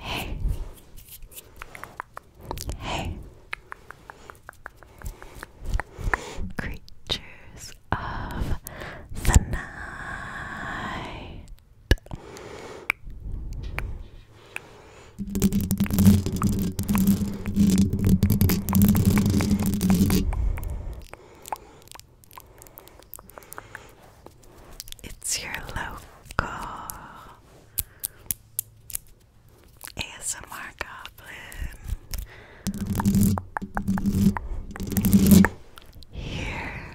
Hey. Hey. Creatures of the night. It's your local ASMR Goblin here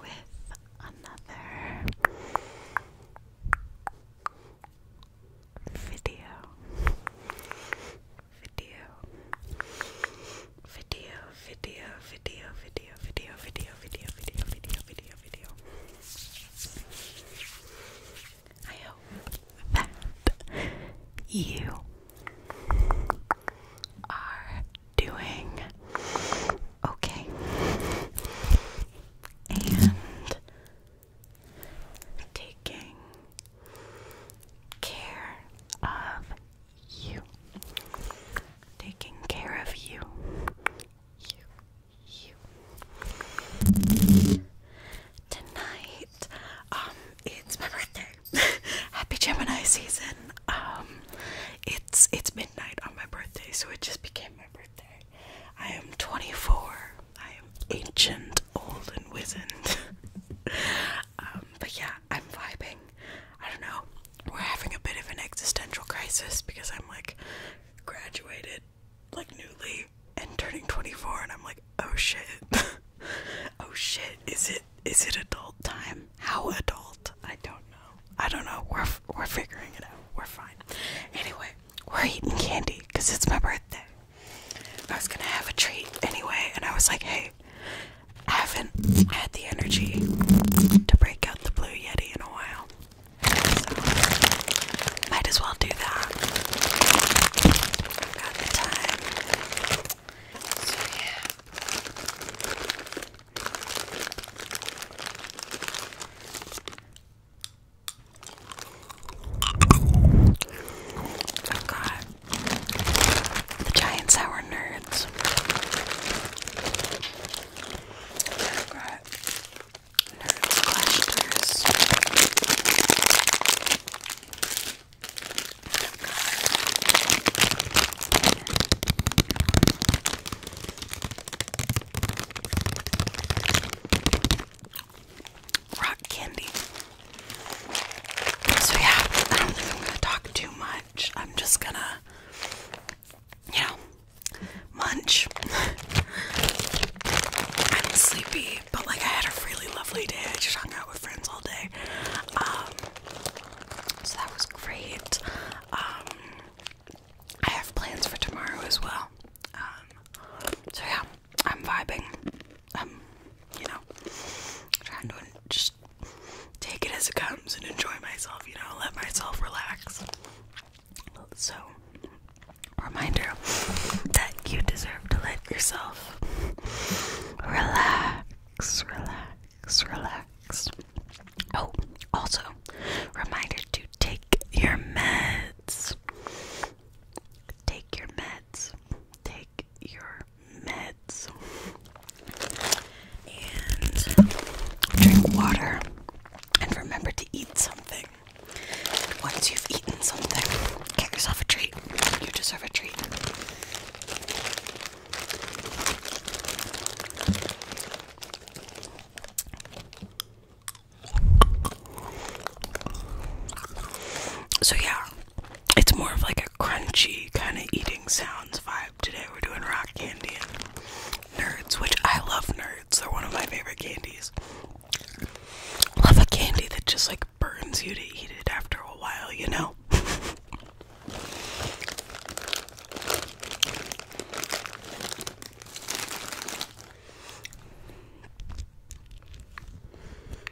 with another video video video video video video video video video video video video video I hope that you are doing okay and taking care of you, taking care of you, you, you. Tonight, um, it's my birthday. Happy Gemini season. Um, it's it's midnight on my birthday, so it just became my birthday. I am 24 I am ancient, old, and wizened. Um, but yeah, I'm vibing. I don't know. We're having a bit of an existential crisis because I'm like graduated, like newly, and turning 24, and I'm like, oh shit. oh shit. Is it is it adult time? How adult? I don't know. I don't know. We're we're figuring it out. We're fine. Anyway, we're eating candy because it's my birthday. I was gonna have a treat anyway, and I was like, hey, I haven't had the energy to break out the Blue Yeti in a while. might as well do that. got the time. So, yeah i got the Giant Sour Nerds. i got Nerds Collectors rock candy. So yeah, I don't think I'm gonna talk too much. I'm just gonna, you know, munch. I'm sleepy, but like I had a really lovely day. I just hung out with friends all day. Um, so that was great. Um, I have plans for tomorrow as well. Um, so yeah, I'm vibing. I'm, um, you know, trying to just take it as it comes and enjoy myself, you know, let myself relax. So, reminder that you deserve to let yourself relax, relax, relax. Oh, also, reminder to take your meds. Take your meds. Take your meds and drink water and remember to eat something. And once you've eaten something, get yourself a treat. You deserve a treat. So, yeah, it's more of like a crunchy kind of eating sounds vibe. Today we're doing rock candy and nerds, which I love nerds. They're one of my favorite candies. Love a candy that just like burns you to eat it after a while, you know?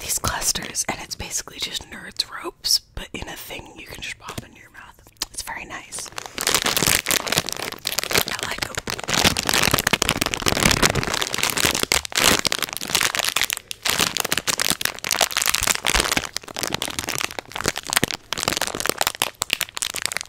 these clusters, and it's basically just nerds ropes, but in a thing you can just pop into your mouth. It's very nice. I like them.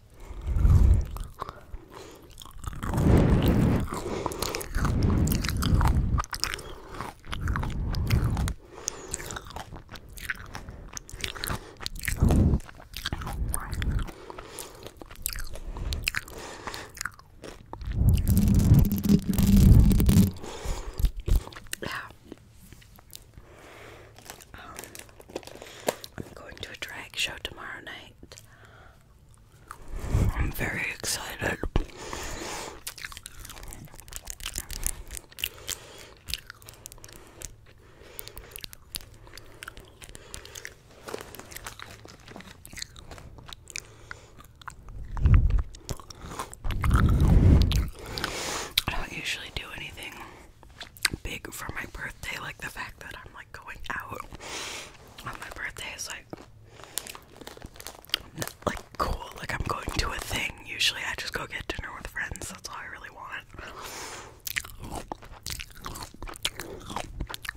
Yeah. Um, I'm going to a drag show tomorrow night. I'm very excited. I don't usually do anything big for my birthday, like the fact that I'm like going out on my birthday is like like cool like i'm going to a thing usually i just go get dinner with friends that's all i really want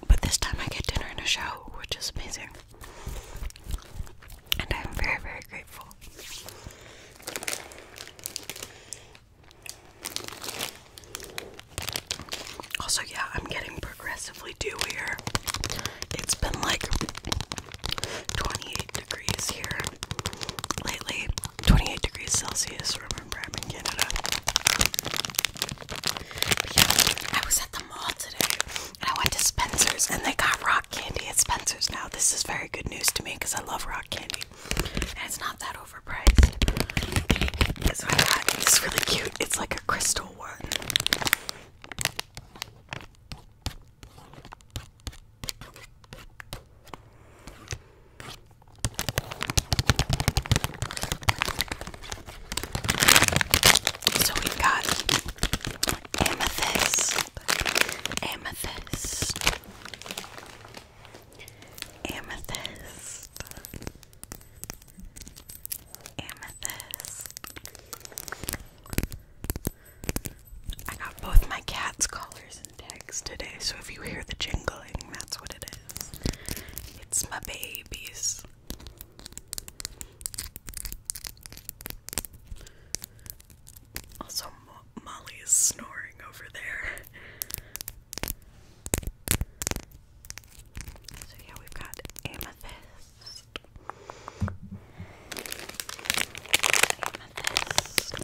but this time i get dinner and a show which is amazing and i'm very very grateful also, yeah, I'm getting progressively dewier. It's been like 28 degrees here lately. 28 degrees Celsius. Remember, I'm in Canada. I was at the mall today and I went to Spencer's and they got rock candy at Spencer's now. This is very good news to me because I love rock candy and it's not that overpriced. So I got this really cute it's like a crystal one. So we got amethyst, amethyst, amethyst, Amethyst. I got both my cat's collars and tags today, so if you hear the jingling, that's what it is. It's my babies. Also, Molly is snoring over there. So yeah, we've got amethyst. Amethyst. Amethyst.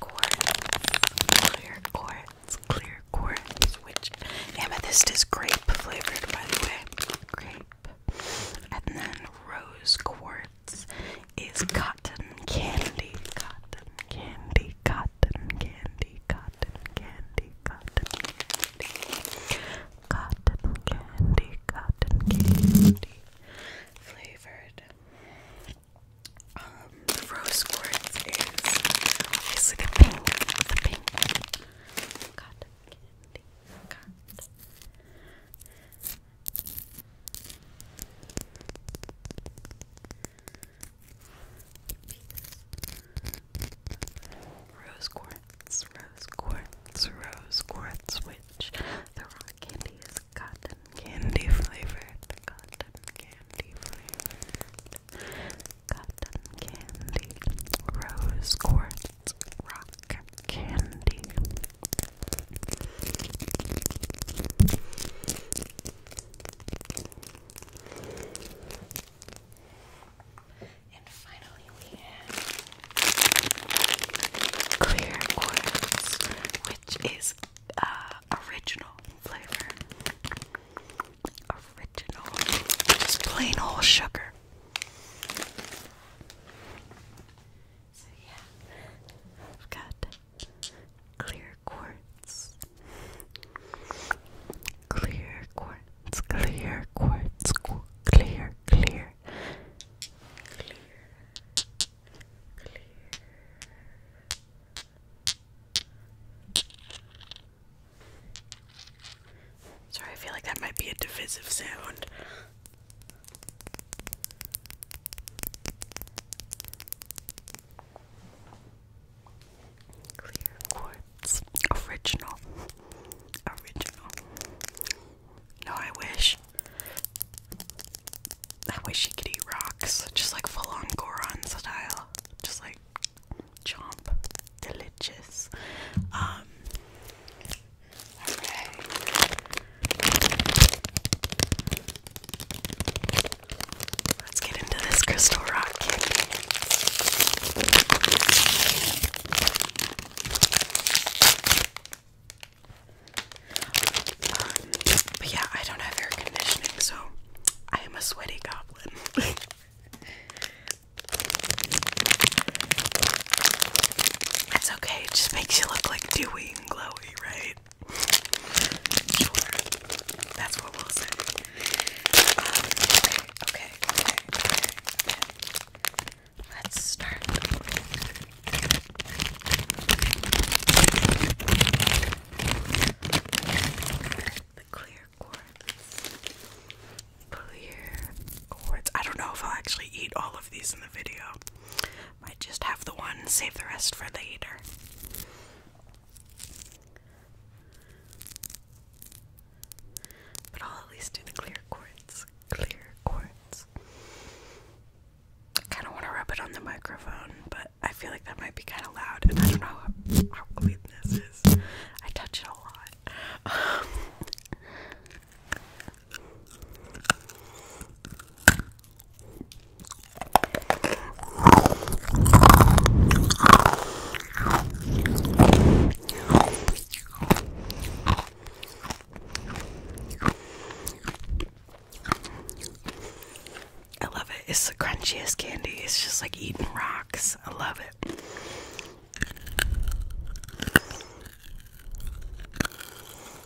Clear quartz. Clear quartz. Clear quartz. Which amethyst is grape flavored, by the way. Grape. And then rose quartz words is cotton candy, cotton candy, cotton candy, cotton candy, cotton candy, cotton candy, cotton candy, flavored. Um, the rose quartz is obviously the pink, the pink. Cotton candy, cotton Rose quartz, rose quartz, rose quartz, which the rock candy is cotton candy flavored, cotton candy flavored, cotton candy, rose quartz, rock candy, and finally, we have clear oils, which is uh, original flavor. Original, just plain old sugar. So yeah, I've got clear quartz, clear quartz, clear quartz, clear, clear, clear. Sorry, I feel like that might be a divisive sound. Clear quartz. Original. Original. No, I wish. I wish you could eat rocks. Just like full on Goron style. Just like chomp. Delicious. Um, Alright. Let's get into this crystal rock um, but yeah, I don't have air conditioning, so I am a sweaty goblin. It's okay, it just makes you look like Dewey and glowy, right? That's what we'll say. Um, okay, okay, okay, Let's start. The clear quartz. Clear quartz. I don't know if I'll actually eat all of these in the video. I just have the one, save the rest for later. But I'll at least do the clear quartz. Clear quartz. I kind of want to rub it on the microphone, but I feel like that might be kind of loud, and I don't know how, clean this is. I touch it a lot. I love it. It's the crunchiest candy. It's just like eating rocks. I love it.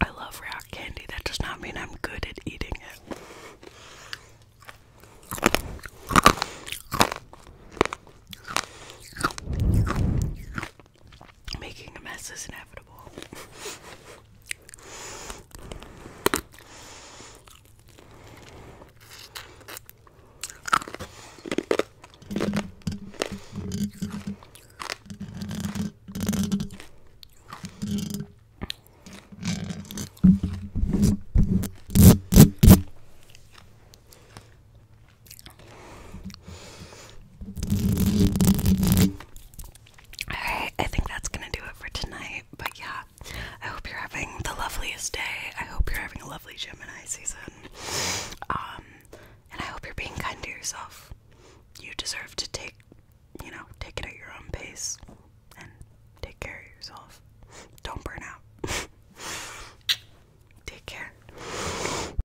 I love rock candy. That does not mean I'm good at eating it. Making a mess is inevitable. Alright, I think that's gonna do it for tonight. But yeah, I hope you're having the loveliest day. I hope you're having a lovely Gemini season. Um, and I hope you're being kind to yourself. You deserve to take, you know, take it at your own pace and take care of yourself. Don't burn out. take care.